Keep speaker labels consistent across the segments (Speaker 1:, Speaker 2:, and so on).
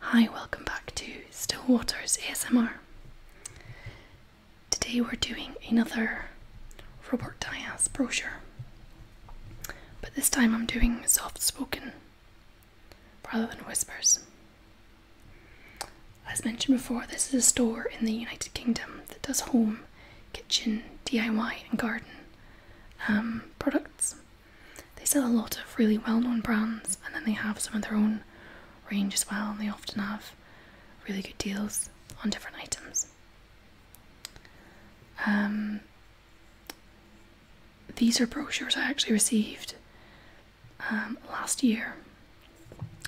Speaker 1: Hi, welcome back to Still Waters ASMR. Today we're doing another Robert Diaz brochure, but this time I'm doing soft spoken rather than whispers. As mentioned before, this is a store in the United Kingdom that does home, kitchen, DIY, and garden um, products. They sell a lot of really well known brands and then they have some of their own range as well, and they often have really good deals on different items. Um, these are brochures I actually received um, last year.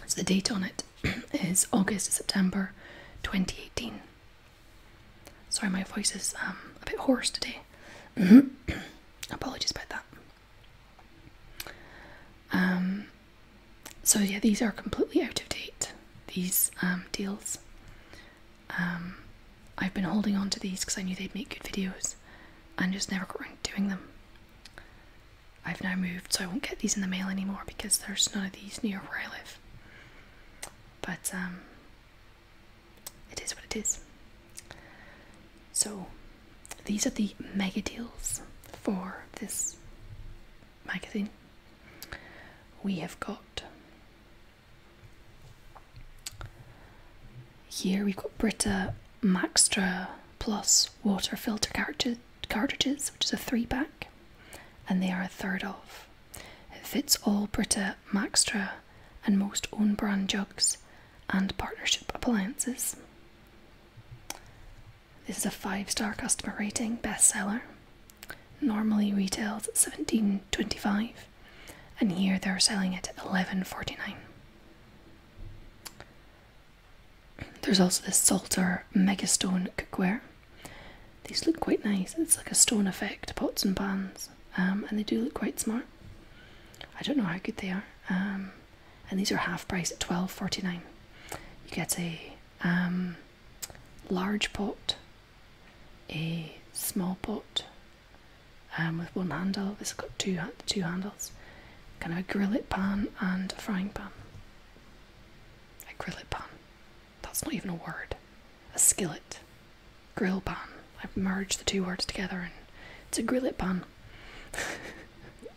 Speaker 1: So the date on it is August September 2018. Sorry, my voice is um, a bit hoarse today. Apologies about that. Um, so yeah, these are completely out of date. These um, deals. I've been holding on to these because I knew they'd make good videos, and just never got around to doing them. I've now moved, so I won't get these in the mail anymore because there's none of these near where I live. But it is what it is. So, these are the mega deals for this magazine. We have got here we've got Brita Maxtra Plus water filter cartridge, cartridges, which is a three pack, and they are a third off. It fits all Brita Maxtra and most own brand jugs and partnership appliances. This is a five star customer rating bestseller. Normally retails at seventeen twenty five, and here they're selling it at eleven forty nine. There's also this Salter Megastone cookware. These look quite nice. It's like a stone effect pots and pans, um, and they do look quite smart. I don't know how good they are. Um, and these are half price at twelve forty nine. You get a um, large pot, a small pot um, with one handle. This has got two two handles. Kind of a grillet pan and a frying pan. A grillet pan. That's not even a word. A skillet grill bun. I've merged the two words together and it's a grillet bun.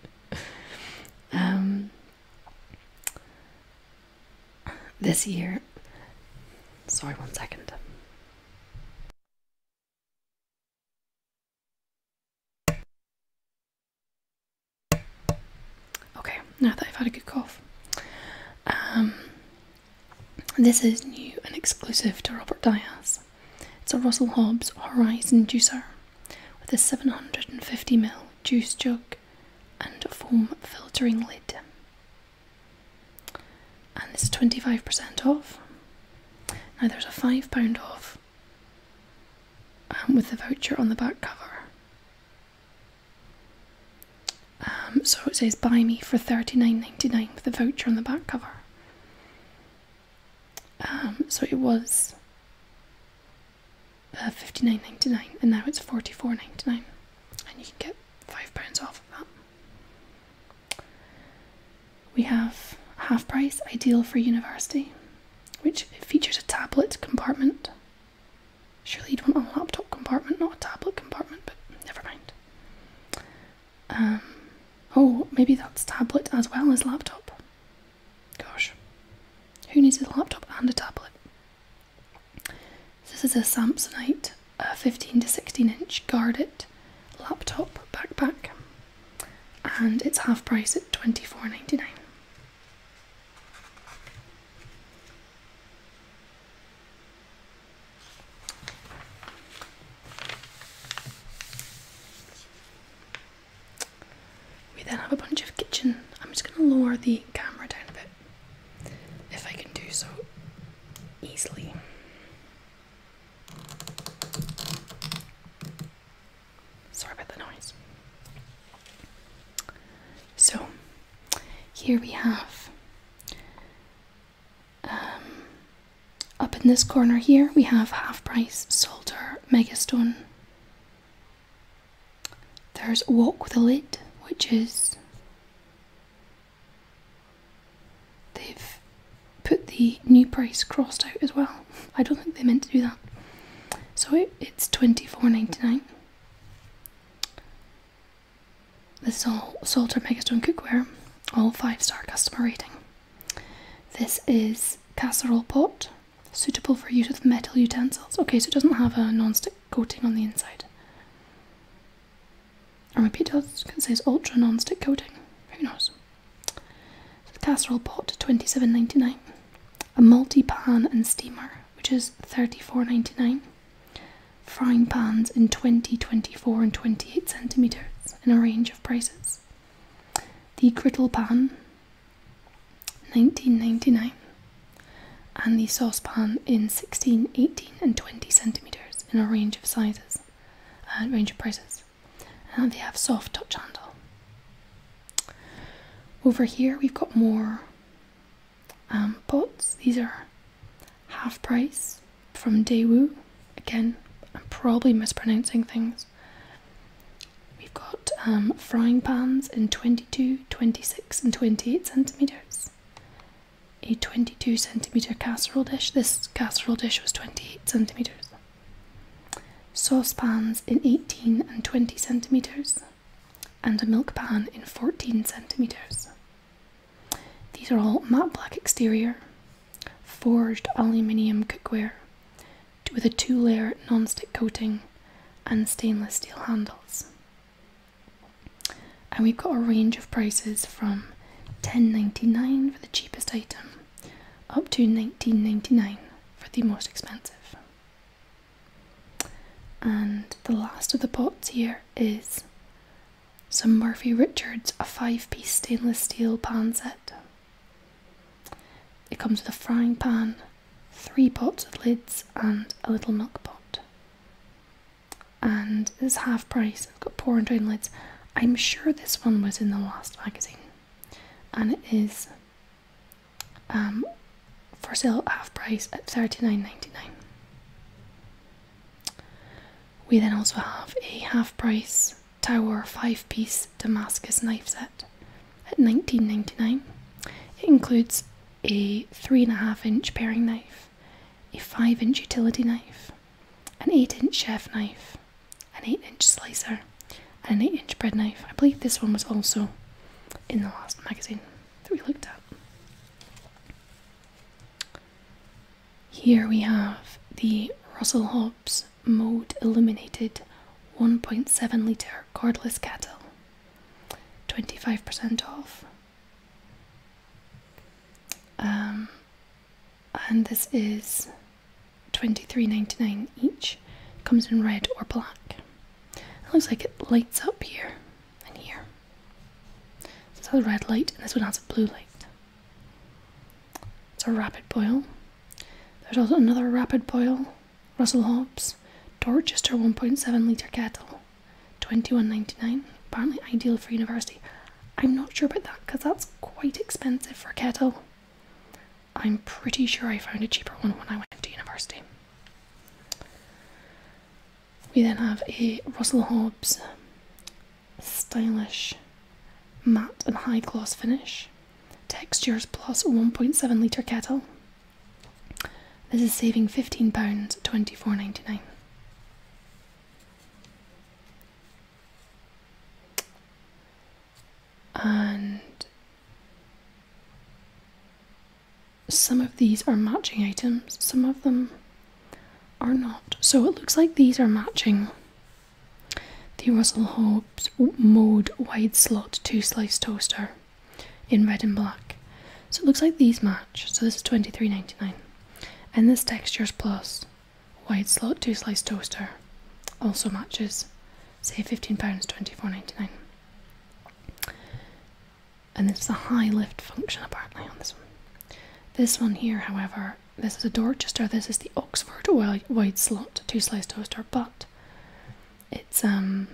Speaker 1: um, this year, sorry, one second. Okay, now that I've had a good cough. Um, this is new and exclusive to Robert Diaz. It's a Russell Hobbs Horizon Juicer with a 750ml juice jug and a foam filtering lid. And this is 25% off. Now there's a £5 off um, with the voucher on the back cover. Um, so it says buy me for $39.99 with the voucher on the back cover. Um, so it was uh, fifty nine ninety nine, and now it's forty four ninety nine, and you can get five pounds off of that. We have half price, ideal for university, which features a tablet compartment. Surely you'd want a laptop compartment, not a tablet compartment, but never mind. Um, oh, maybe that's tablet as well as laptop. Gosh, who needs a laptop and a tablet? This is a Samsonite, a 15 to 16 inch guarded laptop backpack, and it's half price at twenty four ninety nine. We then have a bunch of kitchen. I'm just going to lower the camera down a bit if I can do so easily. Sorry about the noise. So, here we have um, up in this corner here, we have half price solder megastone. There's Walk with a Lid, which is they've put the new price crossed out as well. I don't think they meant to do that. So it, it's twenty four ninety nine. This is all Salter Megastone cookware, all five star customer rating. This is casserole pot, suitable for use with metal utensils. Okay, so it doesn't have a non-stick coating on the inside. Or maybe it does, because it says ultra non-stick coating. Who knows? So casserole pot, twenty seven ninety nine. A multi pan and steamer, which is thirty four ninety nine frying pans in 20, 24, and 28 centimetres in a range of prices. The griddle pan, 19.99, and the saucepan in 16, 18, and 20 centimetres in a range of sizes and uh, range of prices. And they have soft touch handle. Over here we've got more um, pots. These are half price from Daewoo. Again, I'm probably mispronouncing things. We've got um, frying pans in 22, 26, and 28 centimetres. A 22 centimetre casserole dish. This casserole dish was 28 centimetres. Saucepans in 18 and 20 centimetres. And a milk pan in 14 centimetres. These are all matte black exterior, forged aluminium cookware with a two layer non stick coating and stainless steel handles. And we've got a range of prices from 10.99 for the cheapest item up to 19.99 for the most expensive. And the last of the pots here is some Murphy Richards, a five piece stainless steel pan set. It comes with a frying pan, three pots with lids, and a little milk pot. And it's half price, I've got pouring lids. I'm sure this one was in the last magazine, and it is um, for sale half price at thirty nine ninety nine. We then also have a half price tower five piece Damascus knife set at $19.99. It includes a three and a half inch paring knife, a five inch utility knife, an eight inch chef knife, an eight inch slicer, and an eight inch bread knife. I believe this one was also in the last magazine that we looked at. Here we have the Russell Hobbs Mode Illuminated 1.7 litre cordless kettle, 25% off. Um, and this is $23.99 each, comes in red or black. It looks like it lights up here and here. So it's a red light, and this one has a blue light. It's a rapid boil. There's also another rapid boil, Russell Hobbs, Dorchester 1.7 litre kettle, 21.99. Apparently ideal for university. I'm not sure about that because that's quite expensive for a kettle. I'm pretty sure I found a cheaper one when I went to university. We then have a Russell Hobbs stylish matte and high gloss finish. Textures plus 1.7 litre kettle. This is saving £15, And some of these are matching items, some of them are not. So it looks like these are matching the Russell Hobbs Mode Wide Slot 2 Slice Toaster in red and black. So it looks like these match. So this is $23.99. And this Textures Plus Wide Slot 2 Slice Toaster also matches, say £15.24.99. And this is a high lift function apparently on this one. This one here, however, this is a Dorchester. This is the Oxford white slot two slice toaster, but it's um.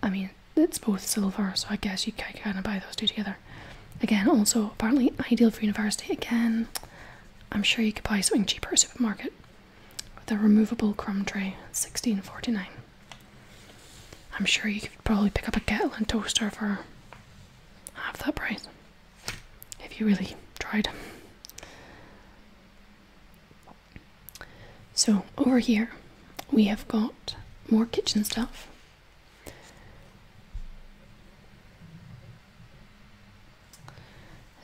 Speaker 1: I mean, it's both silver, so I guess you can buy those two together. Again, also apparently ideal for university. Again, I'm sure you could buy something cheaper at a supermarket. With a removable crumb tray, sixteen forty nine. I'm sure you could probably pick up a kettle and toaster for half that price if you really tried. So, over here we have got more kitchen stuff. It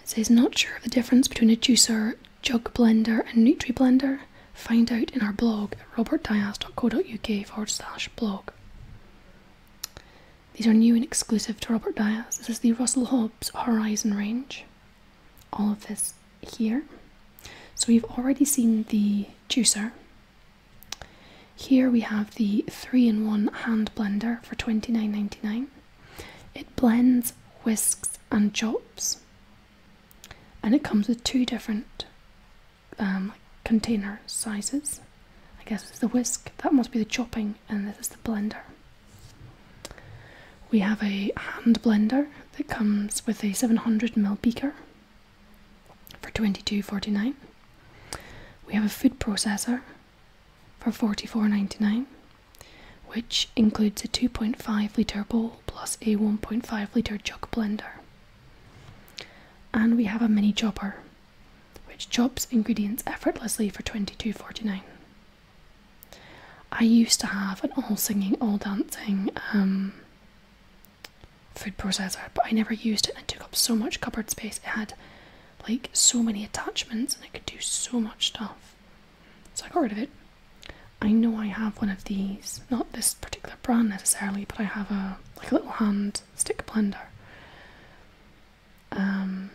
Speaker 1: says, not sure of the difference between a juicer, jug blender, and Nutri blender. Find out in our blog robertdias.co.uk forward slash blog. These are new and exclusive to Robert Dias. This is the Russell Hobbs Horizon range. All of this here. So we've already seen the juicer. Here we have the 3-in-1 hand blender for twenty-nine ninety-nine. It blends, whisks and chops. And it comes with two different um, container sizes. I guess it's the whisk, that must be the chopping, and this is the blender. We have a hand blender that comes with a 700ml beaker for 22.49. We have a food processor for 44.99, which includes a 2.5 litre bowl plus a 1.5 litre jug blender. And we have a mini chopper, which chops ingredients effortlessly for twenty-two forty-nine. I used to have an all singing, all dancing um, food processor, but I never used it and it took up so much cupboard space. It had like so many attachments and it could do so much stuff. So I got rid of it. I know I have one of these, not this particular brand necessarily, but I have a like a little hand stick blender. Um,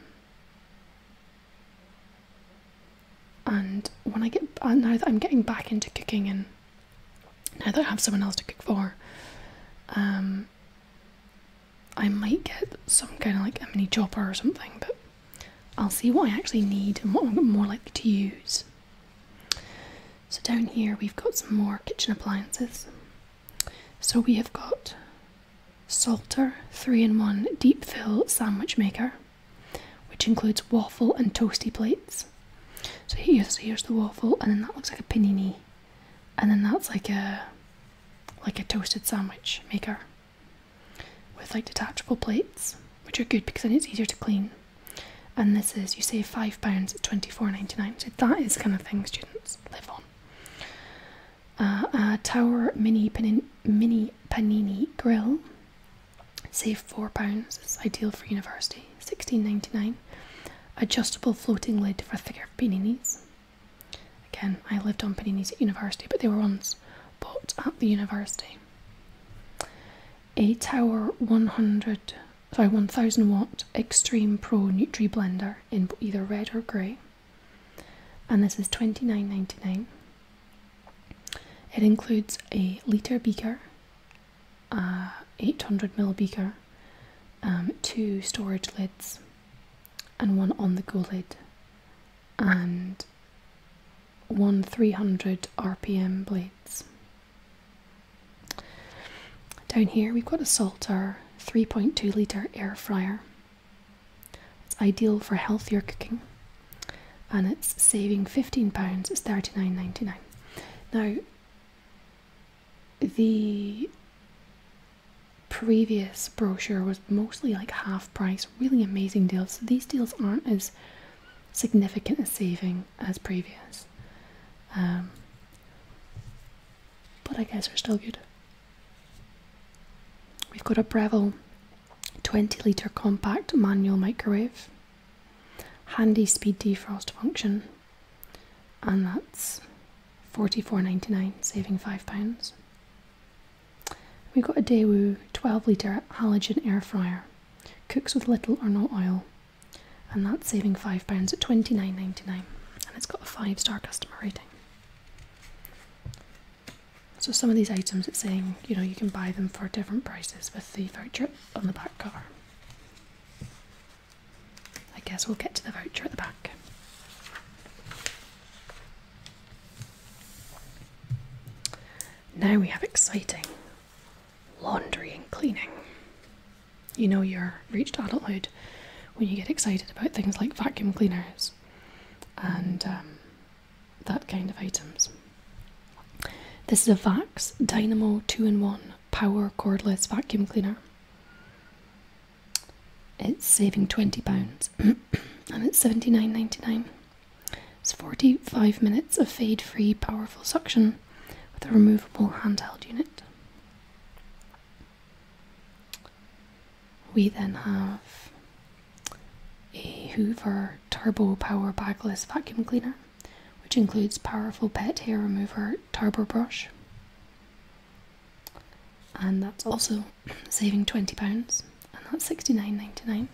Speaker 1: and when I get uh, now that I'm getting back into cooking and now that I have someone else to cook for, um, I might get some kind of like a mini chopper or something, but I'll see what I actually need and what I'm more likely to use. So down here we've got some more kitchen appliances. So we have got Salter 3-in-1 Deep Fill Sandwich Maker, which includes waffle and toasty plates. So here's here's the waffle and then that looks like a panini. And then that's like a like a toasted sandwich maker with like detachable plates, which are good because then it's easier to clean and this is you save five pounds at twenty four ninety nine. So that is kind of thing students live on. Uh, a Tower Mini Mini Panini Grill, save four pounds. It's ideal for university. Sixteen ninety nine. Adjustable floating lid for thicker paninis. Again, I lived on paninis at university, but they were ones bought at the university. A Tower one hundred sorry 1000 watt Extreme Pro Nutri Blender in either red or grey. And this is twenty nine ninety nine. It includes a litre beaker, a 800ml beaker, um, two storage lids, and one on the go lid, and one 300 RPM blades. Down here we've got a salt, Salter 3.2 litre air fryer. It's ideal for healthier cooking and it's saving £15, it's £39.99. Now, the previous brochure was mostly like half price, really amazing deals. these deals aren't as significant a saving as previous. Um, but I guess we're still good. We've got a Breville 20 litre compact manual microwave, handy speed defrost function, and that's £44.99, saving £5. We've got a DeWoo 12 litre halogen air fryer, cooks with little or no oil, and that's saving £5 at £29.99 and it's got a 5 star customer rating. So some of these items it's saying, you know, you can buy them for different prices with the voucher on the back cover. I guess we'll get to the voucher at the back. Now we have exciting laundry and cleaning. You know, you're reached adulthood when you get excited about things like vacuum cleaners and um, that kind of items. This is a Vax Dynamo 2 in 1 power cordless vacuum cleaner. It's saving £20 and it's seventy-nine ninety-nine. It's 45 minutes of fade free powerful suction with a removable handheld unit. We then have a Hoover Turbo Power Bagless Vacuum Cleaner, which includes powerful pet hair remover turbo brush. And that's also saving £20, and that's £69.99.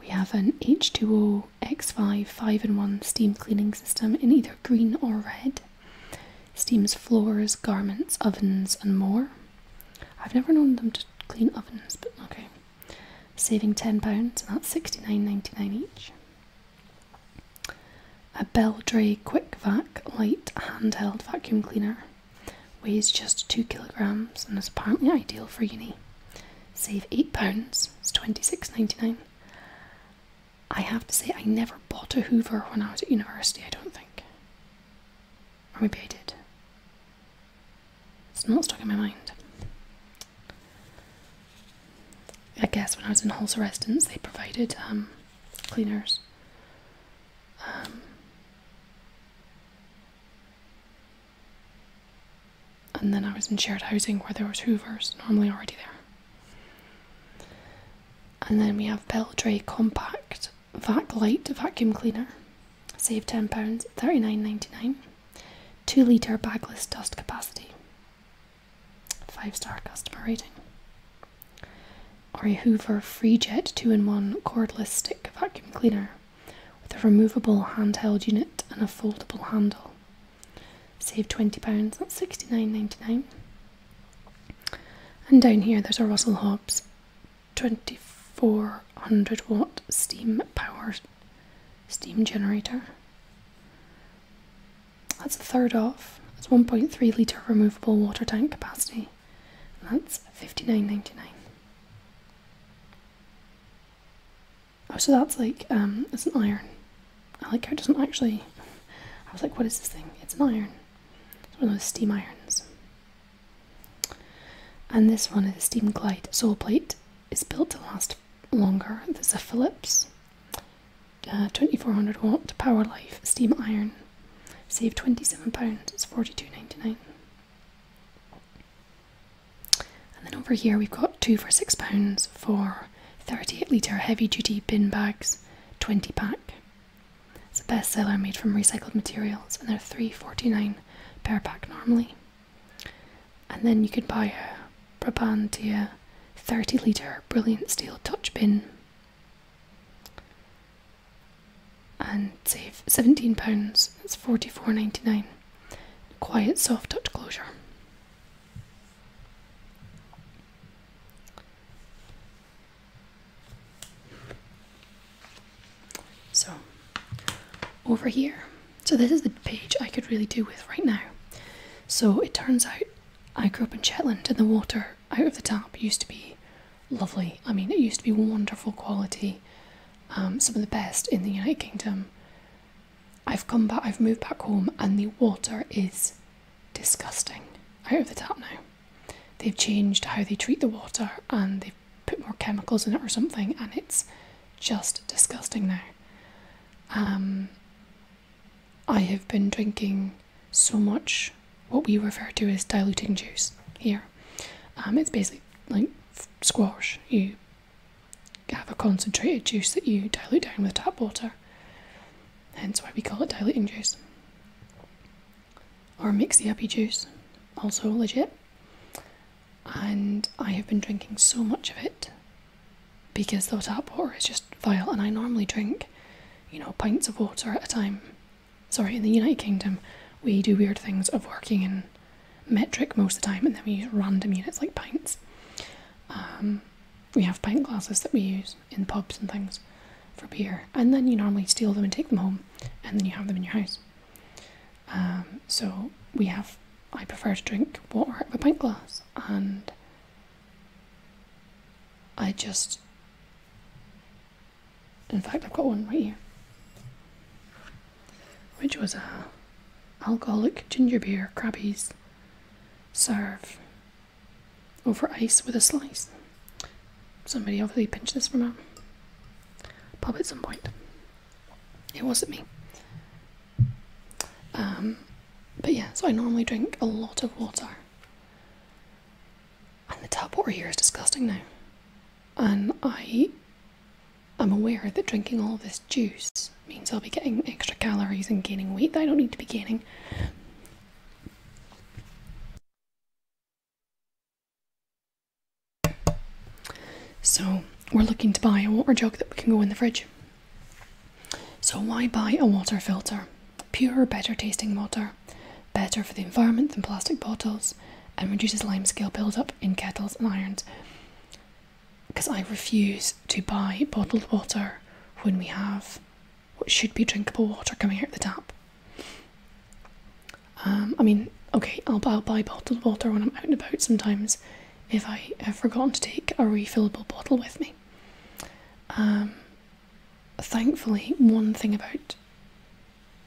Speaker 1: We have an H2O X5 5 in 1 steam cleaning system in either green or red. Steams floors, garments, ovens, and more. I've never known them to clean ovens, but okay. Saving £10, and that's sixty-nine ninety-nine each. A Beldray QuickVac Light Handheld Vacuum Cleaner weighs just 2 kilograms and is apparently ideal for uni save eight pounds. It's twenty six ninety nine. I have to say I never bought a Hoover when I was at university. I don't think, or maybe I did. It's not stuck in my mind. I guess when I was in Holzer residence, they provided um, cleaners. Um, and then I was in shared housing where there was Hoovers normally already there. And then we have Peltray Compact Vac Light Vacuum Cleaner. Save 10 pounds thirty nine 2 litre bagless dust capacity. 5 star customer rating. Or a Hoover FreeJet 2 in 1 cordless stick vacuum cleaner with a removable handheld unit and a foldable handle save £20, that's £69.99. And down here there's a Russell Hobbs 2400 watt steam power, steam generator. That's a third off. That's 1.3 litre removable water tank capacity. And that's 59.99. Oh, so that's like, um, it's an iron. I like how it doesn't actually. I was like, what is this thing? It's an iron. It's one of those steam irons. And this one is a steam glide sole plate. It's built to last longer. This is a Philips. Uh, 2400 watt power life steam iron. Save £27, it's forty-two ninety-nine. And then over here we've got two for six pounds for 38 litre heavy duty bin bags, 20 pack. It's a bestseller made from recycled materials and they're 3.49 per pack normally. And then you could buy a 30 litre brilliant steel touch bin and save £17, it's 44 Quiet soft touch closure. So over here, so this is the page I could really do with right now. So it turns out I grew up in Shetland and the water out of the tap used to be lovely. I mean, it used to be wonderful quality, um, some of the best in the United Kingdom. I've come back, I've moved back home, and the water is disgusting out of the tap now. They've changed how they treat the water and they've put more chemicals in it or something, and it's just disgusting now. Um, I have been drinking so much what we refer to as diluting juice here. Um, it's basically like squash. You have a concentrated juice that you dilute down with tap water. Hence why we call it diluting juice. Or mixy uppy juice, also legit. And I have been drinking so much of it because the tap water is just vile, and I normally drink, you know, pints of water at a time. Sorry, in the United Kingdom, we do weird things of working in metric most of the time, and then we use random units like pints. Um, we have pint glasses that we use in pubs and things for beer, and then you normally steal them and take them home, and then you have them in your house. Um, so we have. I prefer to drink water out of a pint glass, and I just. In fact, I've got one right here, which was a alcoholic ginger beer crabbies. Serve over ice with a slice. Somebody obviously pinched this from a pub at some point. It wasn't me. Um, but yeah, so I normally drink a lot of water. And the tap water here is disgusting now. And I I'm aware that drinking all this juice means I'll be getting extra calories and gaining weight that I don't need to be gaining. So, we're looking to buy a water jug that we can go in the fridge. So, why buy a water filter? Pure, better tasting water, better for the environment than plastic bottles, and reduces lime scale buildup in kettles and irons because I refuse to buy bottled water when we have what should be drinkable water coming out of the tap. Um, I mean, okay, I'll, buy bottled water when I'm out and about sometimes if I have forgotten to take a refillable bottle with me. Um, thankfully, one thing about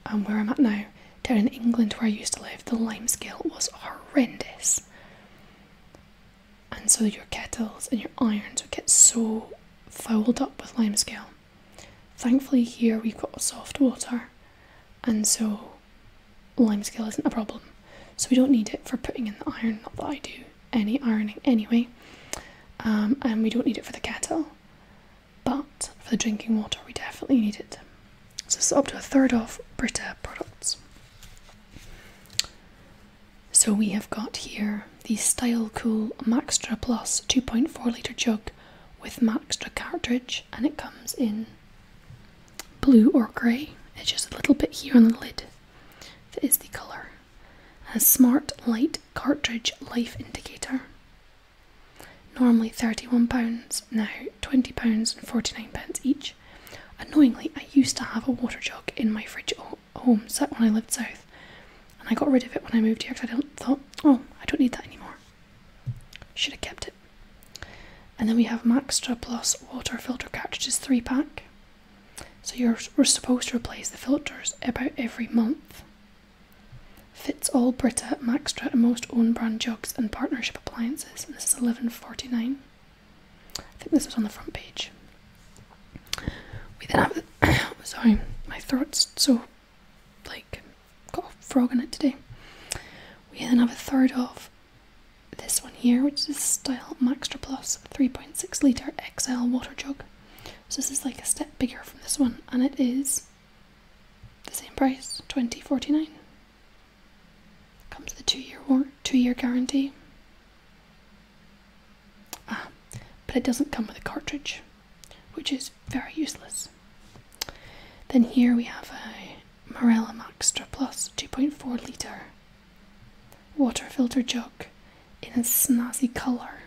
Speaker 1: um, where I'm at now, down in England where I used to live, the limescale was horrendous and so your kettles and your irons would get so fouled up with limescale. Thankfully, here we've got soft water, and so limescale isn't a problem. So we don't need it for putting in the iron, not that I do any ironing anyway, um, and we don't need it for the kettle, but for the drinking water, we definitely need it. So this up to a third of Brita products. So we have got here the Style Cool Maxtra Plus 2.4 litre jug with Maxtra cartridge, and it comes in blue or grey. It's just a little bit here on the lid that is the colour. A smart light cartridge life indicator. Normally £31, now £20 and 49 pence each. Annoyingly, I used to have a water jug in my fridge at home Set when I lived south, and I got rid of it when I moved here because I don't thought, oh, I don't need that anymore. Should have kept it. And then we have Maxtra Plus water filter cartridges three pack. So you're supposed to replace the filters about every month. Fits all Brita, Maxtra, and most own brand jugs and partnership appliances. this is eleven forty nine. I think this was on the front page. We then have. sorry, my throat's so like got a frog in it today. We then have a third of this one here, which is the Style Maxtra Plus 3.6 litre XL water jug. So this is like a step bigger from this one, and it is the same price, twenty forty nine. Comes the two-year war, guarantee. Ah, but it doesn't come with a cartridge, which is very useless. Then here we have a Morella Maxtra Plus 2.4 litre water filter jug in a snazzy colour.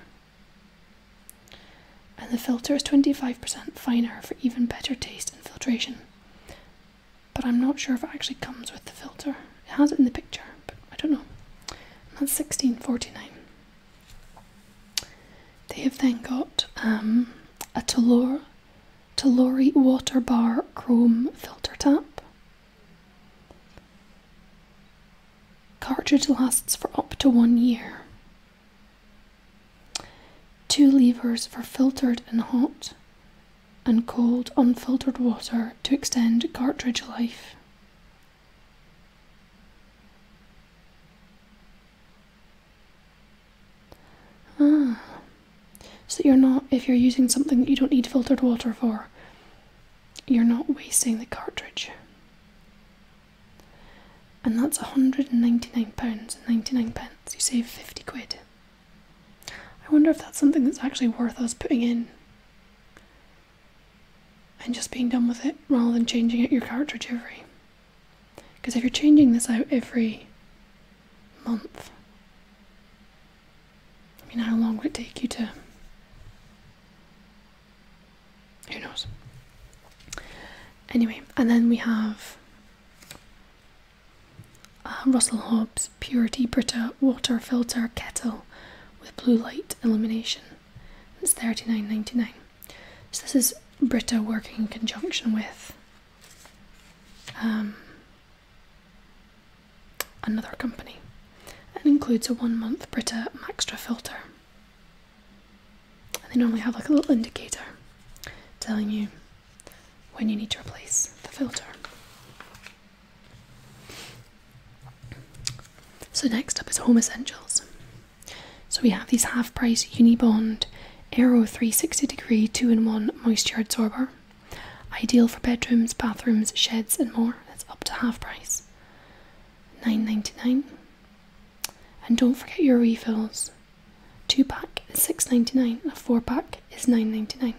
Speaker 1: And the filter is 25% finer for even better taste and filtration but I'm not sure if it actually comes with the filter. It has it in the picture, but I don't know. that's 1649. They have then got um, a Tolore, Water Bar Chrome filter tap. Cartridge lasts for up to one year. Two levers for filtered and hot, and cold, unfiltered water to extend cartridge life. Ah, so you're not, if you're using something that you don't need filtered water for, you're not wasting the cartridge. And that's £199.99. pence. You save 50 quid. I wonder if that's something that's actually worth us putting in and just being done with it rather than changing out your cartridge every. Because if you're changing this out every month, I mean, how long would it take you to? Who knows? Anyway, and then we have uh, Russell Hobbs Purity Brita water filter kettle with blue light illumination. It's thirty nine ninety nine. So this is Brita working in conjunction with um, another company and includes a one month Brita Maxtra filter. And they normally have like a little indicator telling you when you need to replace the filter. So next up is Home Essentials. So we have these half-price Unibond Aero 360 degree 2-in-1 moisture absorber. Ideal for bedrooms, bathrooms, sheds and more. It's up to half price. Nine ninety nine. And don't forget your refills. Two pack is six ninety nine. and a four pack is nine ninety nine.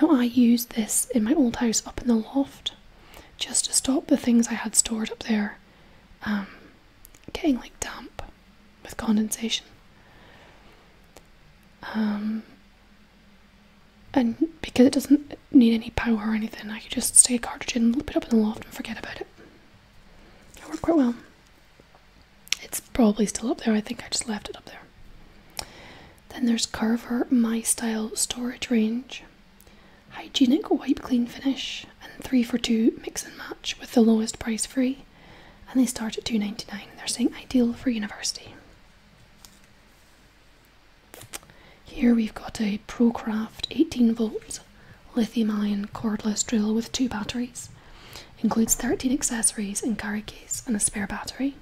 Speaker 1: Now, I use this in my old house up in the loft just to stop the things I had stored up there um, getting like damp with condensation. Um, and because it doesn't need any power or anything, I can just stick a cartridge in, loop it up in the loft, and forget about it. It works quite well. It's probably still up there. I think I just left it up there. Then there's Carver My Style Storage Range. Hygienic wipe clean finish and 3 for 2 mix and match with the lowest price free. And they start at 2.99. They're saying ideal for university. Here we've got a ProCraft 18 volts lithium ion cordless drill with two batteries. Includes 13 accessories and carry case and a spare battery.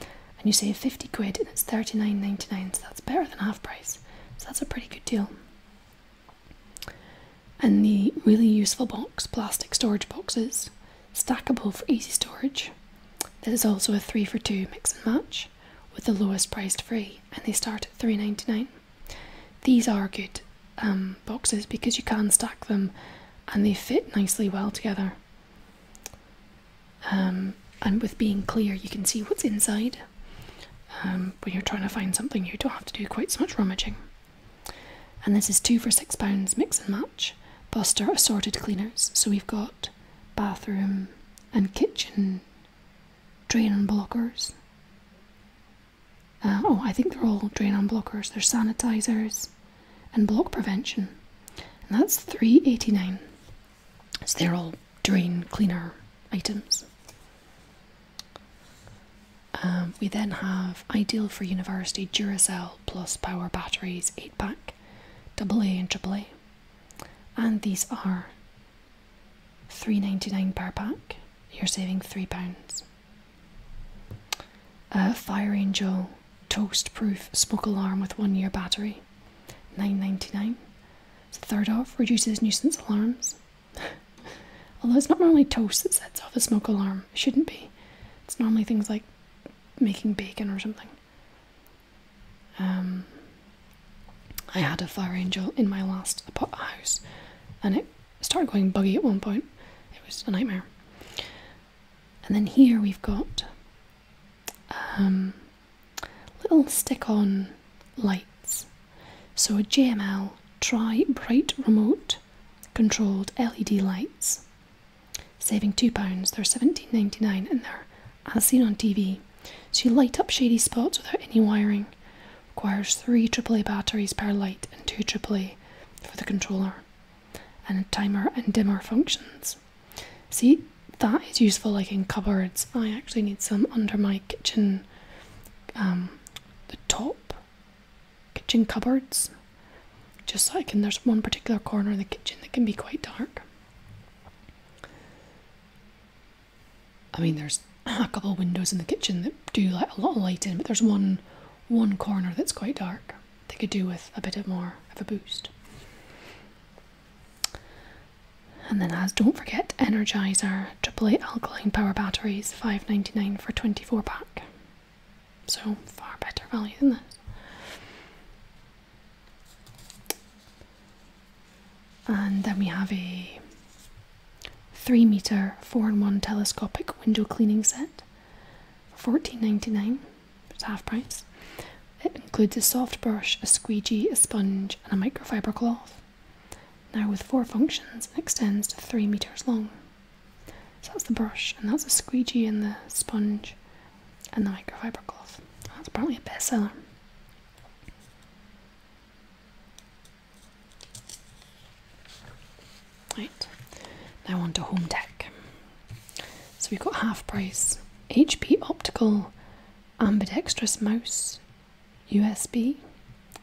Speaker 1: And you save 50 quid and it's 39.99, so that's better than half price. So that's a pretty good deal. And the really useful box, plastic storage boxes, stackable for easy storage. There's also a three for two mix and match with the lowest priced free, and they start at 3.99. These are good um, boxes because you can stack them and they fit nicely well together. Um, and with being clear, you can see what's inside. Um, when you're trying to find something, you don't have to do quite so much rummaging. And this is two for six pounds mix and match. Buster assorted cleaners. So we've got bathroom and kitchen drain unblockers. blockers. Uh, oh, I think they're all drain blockers. They're sanitizers, and block prevention. And that's 389. So they're all drain cleaner items. Um, we then have Ideal for University Duracell Plus Power Batteries 8 pack, double A and AAA. And these are 3.99 per pack. You're saving £3. A Fire Angel Toast Proof Smoke Alarm with one year battery, nine ninety-nine. It's third off, reduces nuisance alarms. Although it's not normally toast that sets off a smoke alarm, it shouldn't be. It's normally things like making bacon or something. Um, I had a fire angel in my last house and it started going buggy at one point. It was a nightmare and then here we've got um, little stick-on lights. So a JML Tri Bright Remote controlled LED lights, saving two pounds. They're seventeen ninety nine, and they're as seen on TV. So you light up shady spots without any wiring. Requires three AAA batteries per light and two AAA for the controller and timer and dimmer functions. See, that is useful like in cupboards. I actually need some under my kitchen, um, the top kitchen cupboards. Just like, and there's one particular corner in the kitchen that can be quite dark. I mean, there's a couple of windows in the kitchen that do let a lot of light in, but there's one one corner that's quite dark. They could do with a bit more of a boost. And then, as don't forget, Energizer AAA alkaline power batteries, five ninety nine for twenty four pack. So far better value than this. And then we have a three meter four in one telescopic window cleaning set fourteen ninety nine it's half price. It includes a soft brush, a squeegee, a sponge, and a microfiber cloth. Now, with four functions, it extends to three meters long. So that's the brush, and that's a squeegee, and the sponge, and the microfiber cloth. That's probably a bestseller. Right, now on to home tech. So we've got half price HP optical ambidextrous mouse USB,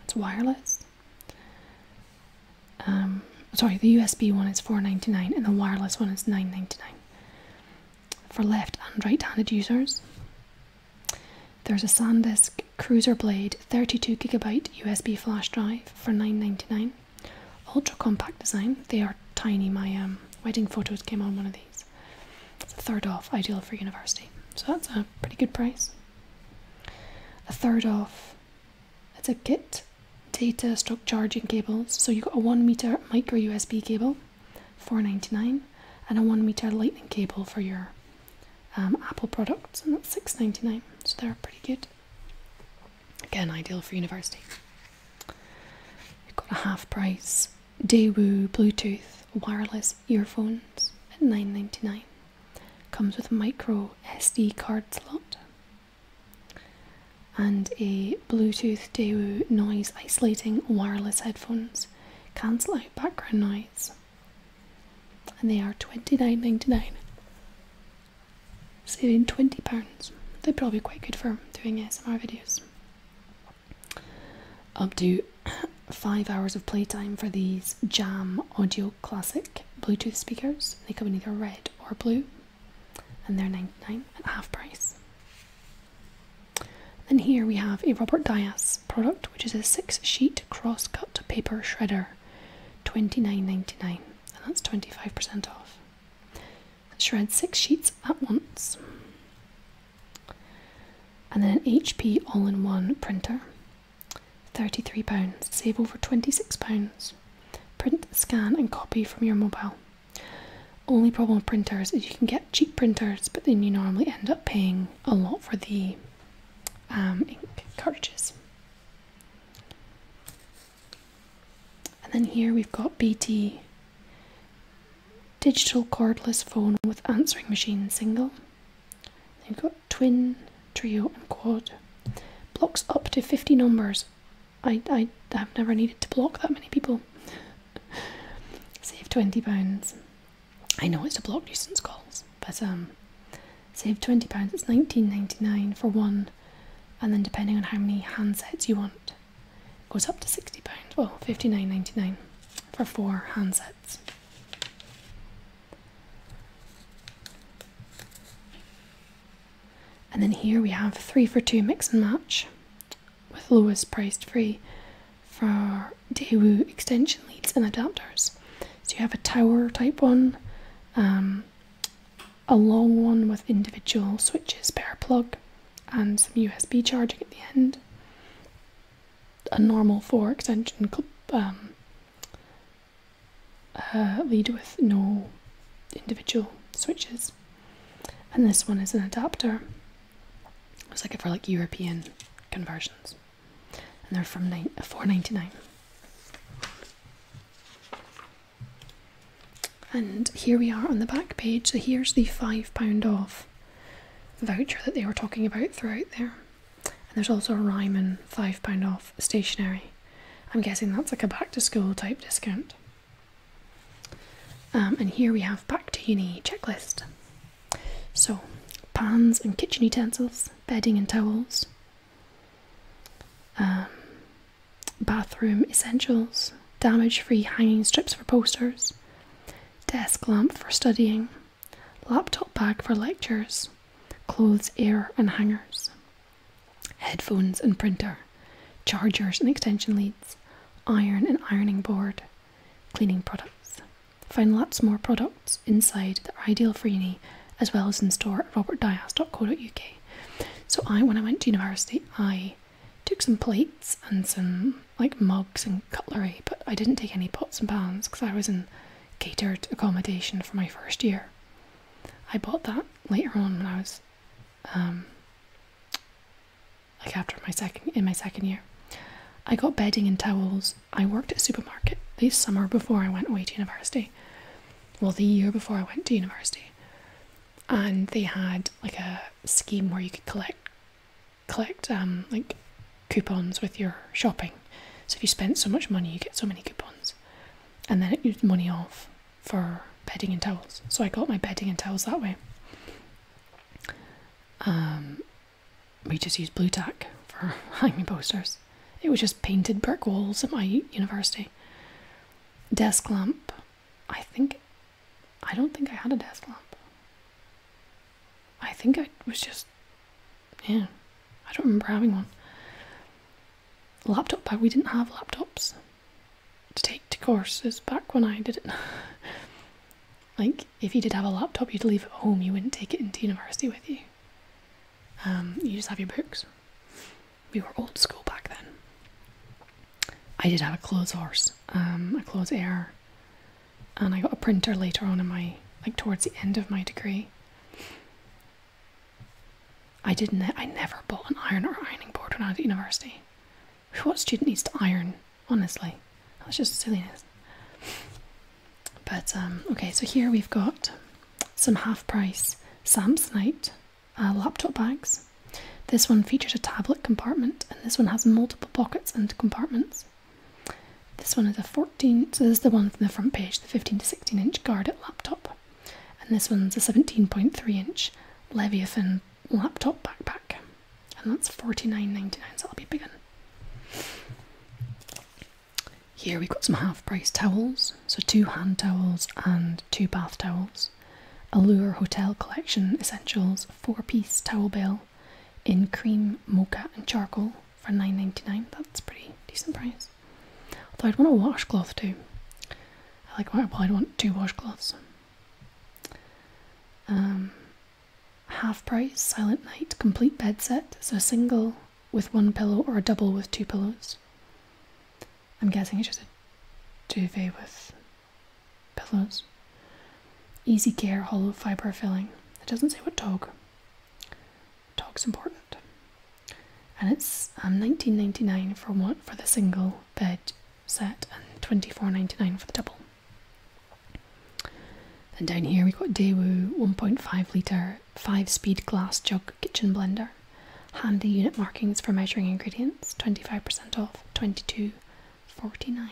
Speaker 1: it's wireless. Um, sorry, the USB one is four ninety nine, and the wireless one is nine ninety nine. For left and right handed users, there's a SanDisk Cruiser Blade 32GB USB flash drive for nine ninety nine. Ultra compact design. They are tiny. My um, wedding photos came on one of these. It's a third off, ideal for university. So that's a pretty good price. A third off. It's a kit. Data stock charging cables. So you got a one meter micro USB cable, four ninety nine, and a one meter lightning cable for your um, Apple products, and that's six ninety nine. So they're pretty good. Again, ideal for university. You've got a half price Daewoo Bluetooth wireless earphones at $9.99. Comes with a micro SD card slot and a Bluetooth Daewoo noise isolating wireless headphones. Cancel out background noise. And they are $29.99 saving £20. They'd probably be quite good for doing ASMR videos. Up to five hours of playtime for these Jam Audio Classic Bluetooth speakers. They come in either red or blue, and they're 99 at half price. And here we have a Robert Diaz product, which is a six sheet cross cut paper shredder, 29.99, and that's 25% off. Shred six sheets at once. And then an HP all in one printer. £33. Save over £26. Print, scan, and copy from your mobile. Only problem with printers is you can get cheap printers, but then you normally end up paying a lot for the um, ink cartridges. And then here we've got BT digital cordless phone with answering machine single. we have got twin, trio, and quad. Blocks up to 50 numbers. I, I have never needed to block that many people. Save £20. I know it's to block nuisance calls, but um, save £20. It's 19.99 for one and then depending on how many handsets you want it goes up to £60 well fifty nine ninety nine for four handsets and then here we have three for two mix and match with lowest priced free for Daewoo extension leads and adapters. So you have a tower type one, um, a long one with individual switches per plug and some USB charging at the end. A normal 4 extension um, uh, lead with no individual switches. And this one is an adapter. It's like for like European conversions. And they're from nine, 4.99. And here we are on the back page. So here's the £5 off voucher that they were talking about throughout there. And there's also a Ryman £5 off stationery. I'm guessing that's like a back to school type discount. Um, and here we have back to uni checklist. So pans and kitchen utensils, bedding and towels, um, bathroom essentials, damage free hanging strips for posters, desk lamp for studying, laptop bag for lectures, clothes, air, and hangers, headphones and printer, chargers and extension leads, iron and ironing board, cleaning products. Find lots more products inside the Ideal Freeney as well as in store at robertdias.co.uk. So I, when I went to university, I took some plates and some like mugs and cutlery, but I didn't take any pots and pans because I was in catered accommodation for my first year. I bought that later on when I was, um, like after my second in my second year. I got bedding and towels. I worked at supermarket the summer before I went away to university. Well, the year before I went to university and they had like a scheme where you could collect collect um like coupons with your shopping. So if you spend so much money, you get so many coupons, and then it used money off for bedding and towels. So I got my bedding and towels that way. Um, we just used blue tack for hanging posters. It was just painted brick walls at my university desk lamp. I think I don't think I had a desk lamp. I think I was just yeah. I don't remember having one. Laptop bag. We didn't have laptops to take to courses back when I did it. like if you did have a laptop, you'd leave it home. You wouldn't take it into university with you. Um, you just have your books we were old school back then. I did have a clothes horse, um, a clothes air, and I got a printer later on in my like towards the end of my degree. I didn't. I never bought an iron or ironing board when I was at university. What student needs to iron? Honestly, that's just silliness. But um, okay, so here we've got some half price Sam's night. Uh, laptop bags. This one features a tablet compartment, and this one has multiple pockets and compartments. This one is a 14, so this is the one from the front page, the 15 to 16 inch guard at laptop. And this one's a 17.3 inch Leviathan laptop backpack. And that's 49.99, so that'll be bigger. Here we've got some half price towels so two hand towels and two bath towels. Allure Hotel Collection Essentials four piece towel bell in cream, mocha, and charcoal for $9.99. That's pretty decent price. Although I'd want a washcloth too. I like why I'd want two washcloths. Um, half price Silent Night complete bed set, so a single with one pillow or a double with two pillows. I'm guessing it's just a duvet with pillows. Easy Care Hollow Fiber Filling. It doesn't say what dog. Dog's important. And it's um, 19.99 for one for the single bed set and 24.99 for the double. And down here we've got Daewoo 1.5 litre 5 speed glass jug kitchen blender. Handy unit markings for measuring ingredients 25% off 22.49.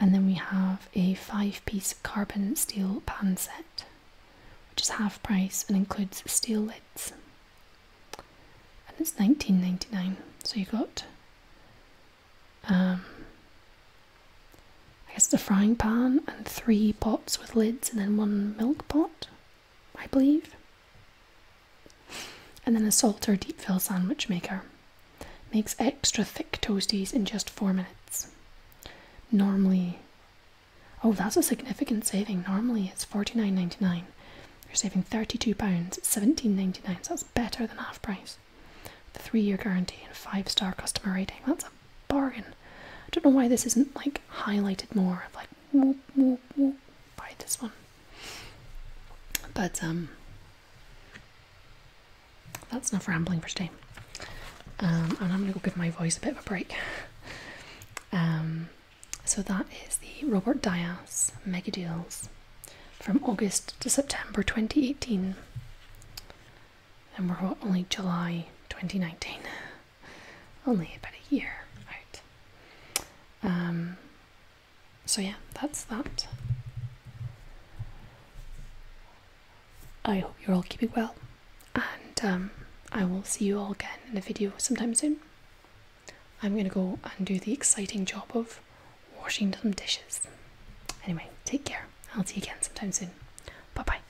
Speaker 1: And then we have a five piece carbon steel pan set, which is half price and includes steel lids. And it's 19.99. So you got um, I guess the frying pan and three pots with lids and then one milk pot. I believe. And then a salt or deep fill sandwich maker makes extra thick toasties in just four minutes. Normally, oh, that's a significant saving. Normally it's $49.99. You're saving £32, £17.99, that's better than half price. The three year guarantee and five star customer rating, that's a bargain. I don't know why this isn't like highlighted more, like buy this one. But um, that's enough rambling for today. Um, and I'm gonna go give my voice a bit of a break. Um, so that is the Robert Dias mega deals from August to September 2018, and we're only July 2019 only about a year out. Um, so yeah, that's that. I hope you're all keeping well, and um, I will see you all again in a video sometime soon. I'm going to go and do the exciting job of washing some dishes. Anyway, take care. I'll see you again sometime soon. Bye bye.